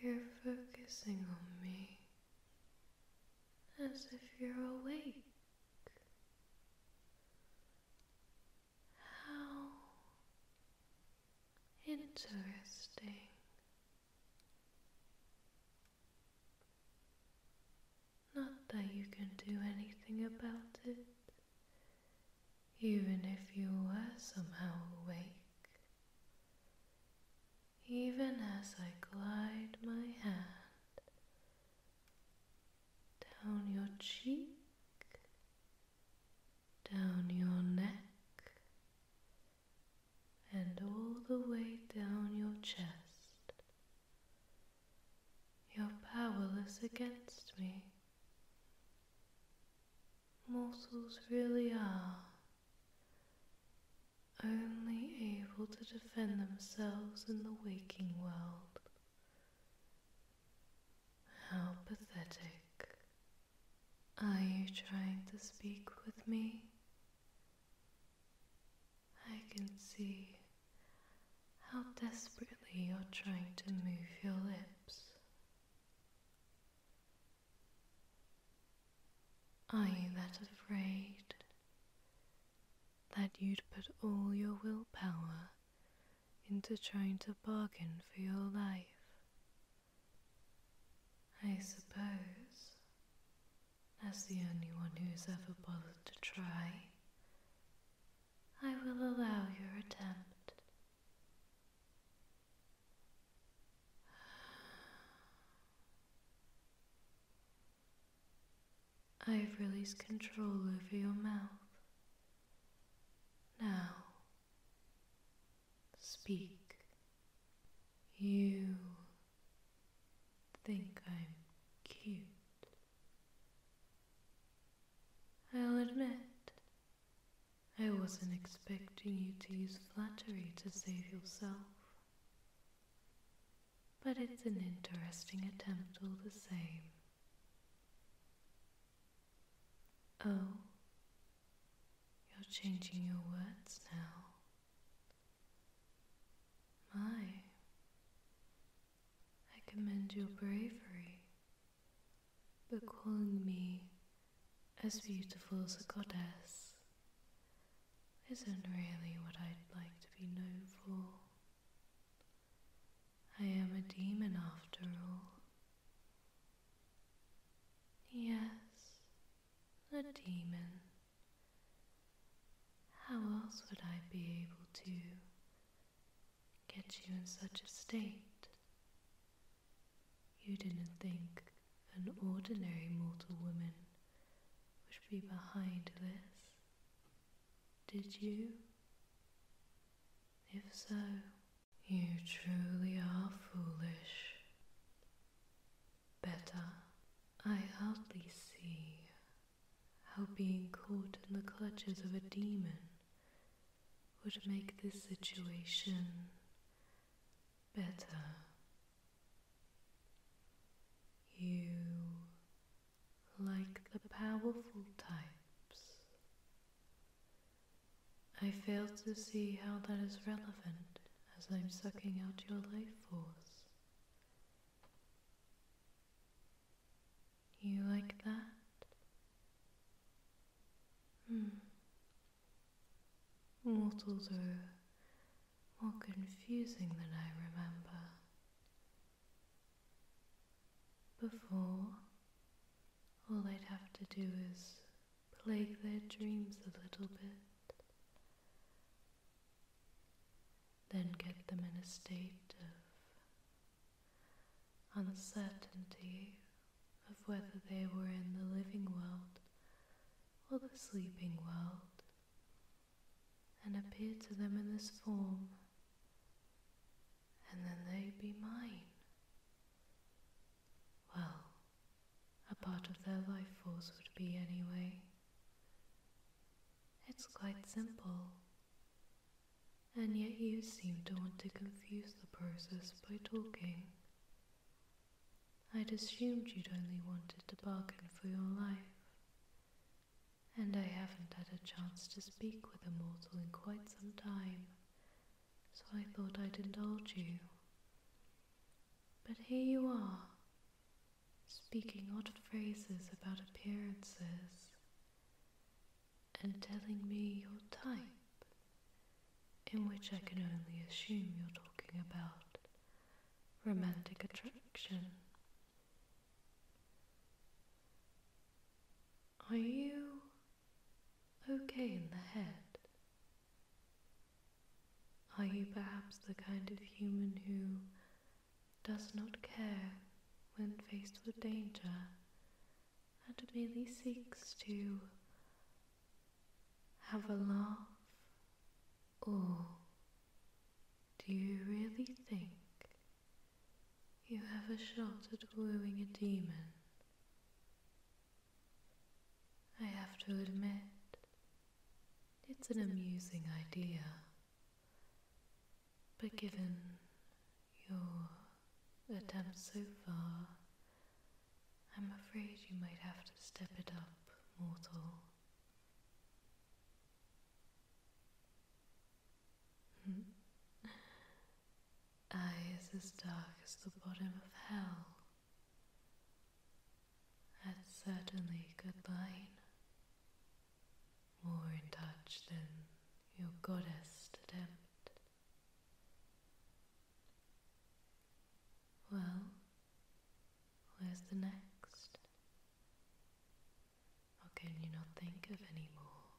You're focusing on me as if you're awake. How interesting. Not that you can do anything about it. Even if you were somehow awake, even as I glide my hand down your cheek, down your neck, and all the way down your chest, you're powerless against me. Mortals really are only able to defend themselves in the waking world. How pathetic. Are you trying to speak with me? I can see how desperately you're trying to move your lips. Are you that afraid that you'd put all your willpower into trying to bargain for your life? I suppose as the only one who's ever bothered to try, I will allow your attempt. I've released control over your mouth. Now, speak. You think I'm cute. I'll admit, I wasn't expecting you to use flattery to save yourself. But it's an interesting attempt all the same. Oh, you're changing your words now. My, I commend your bravery, but calling me as beautiful as a goddess isn't really what I'd like to be known for. I am a demon after all. Yes, a demon. How else would I be able to get you in such a state? You didn't think an ordinary mortal woman would be behind this, did you? If so, you truly are foolish. Better, I hardly see how being caught in the clutches of a demon would make this situation better. You, like the powerful types, I fail to see how that is relevant as I'm sucking out your life force. You like that? Hmm. Mortals are more confusing than I remember. Before, all they'd have to do is plague their dreams a little bit, then get them in a state of uncertainty of whether they were in the living world or the sleeping world, and appear to them in this form, and then they would be mine. Well, a part of their life force would be anyway. It's quite simple. And yet you seem to want to confuse the process by talking. I'd assumed you'd only wanted to bargain for your life, and I haven't had a chance to speak with a mortal in quite some time, so I thought I'd indulge you. But here you are, speaking odd phrases about appearances, and telling me your type, in which I can only assume you're talking about romantic attraction. Are you okay in the head? Are you perhaps the kind of human who does not care when faced with danger and merely seeks to have a laugh? Or do you really think you have a shot at wooing a demon? I have to admit, it's an amusing idea. But given your attempts so far, I'm afraid you might have to step it up, mortal. Hmm. Eyes as dark as the bottom of hell. That's certainly could good More in touch than your goddess attempt. Well, where's the next? Or can you not think of any more?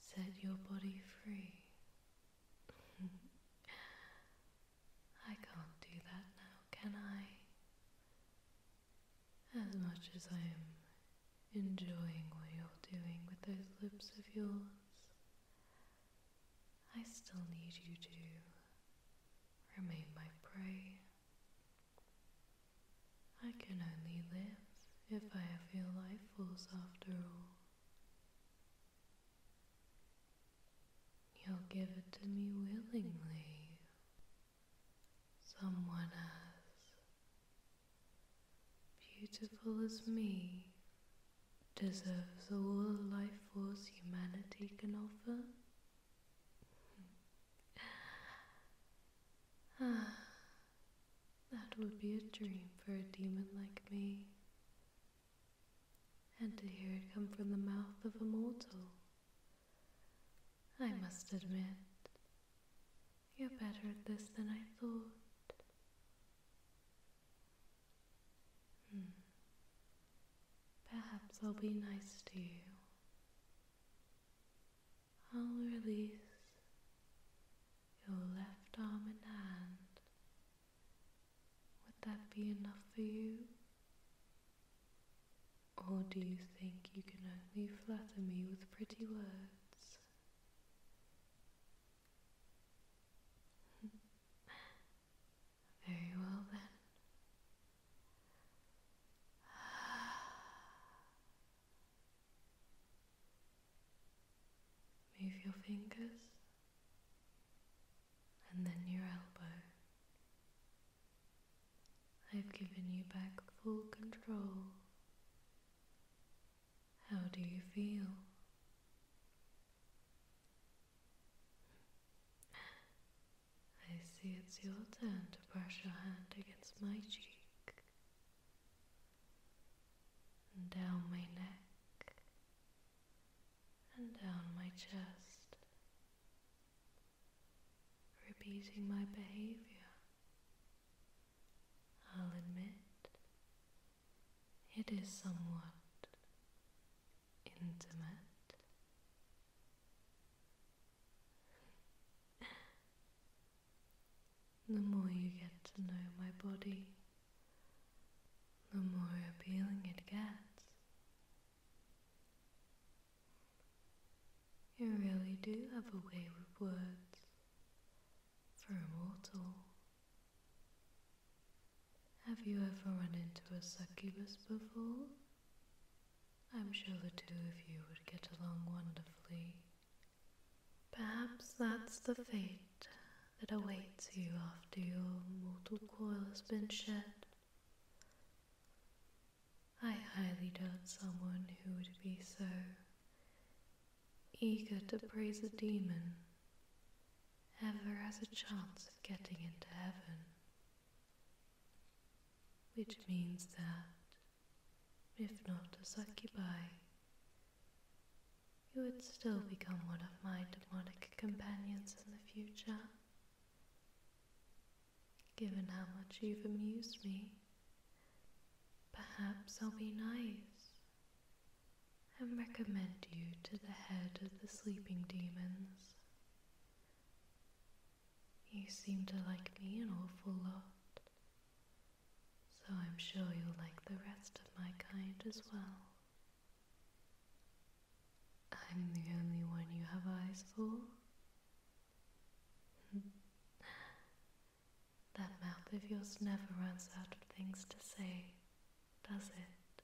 Set your body free. I can't do that now, can I? As much as I am enjoying what you're doing with those lips of yours, I still need you to remain my prey. I can only live if I have your life force after all. You'll give it to me willingly. Someone as beautiful as me deserves all the life force humanity can offer. ah, that would be a dream for a demon like me and to hear it come from the mouth of a mortal. I must admit, you're better at this than I thought. Hmm. Perhaps I'll be nice to you. I'll release your left arm and hand would that be enough for you? Or do you think you can only flatter me with pretty words? Very well then. Move your fingers and then your elbow. I've given you back full control. How do you feel? I see it's your turn to brush your hand against my cheek and down my neck and down my chest, repeating my behavior. I'll admit it is somewhat intimate. the more you get to know my body, the more appealing it gets. You really do have a way with words for a mortal. Have you ever run into a succubus before? I'm sure the two of you would get along wonderfully. Perhaps that's the fate that awaits you after your mortal coil has been shed. I highly doubt someone who would be so eager to praise a demon ever has a chance of getting into heaven. Which means that, if not a succubi, you would still become one of my demonic companions in the future. Given how much you've amused me, perhaps I'll be nice and recommend you to the head of the sleeping demons. You seem to like me an awful lot, so I'm sure you'll like the rest of my kind as well. I'm the only one you have eyes for. that mouth of yours never runs out of things to say, does it?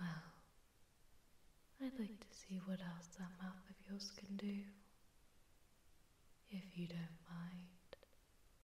Well, I'd like to see what else that mouth of yours can do, if you don't mind.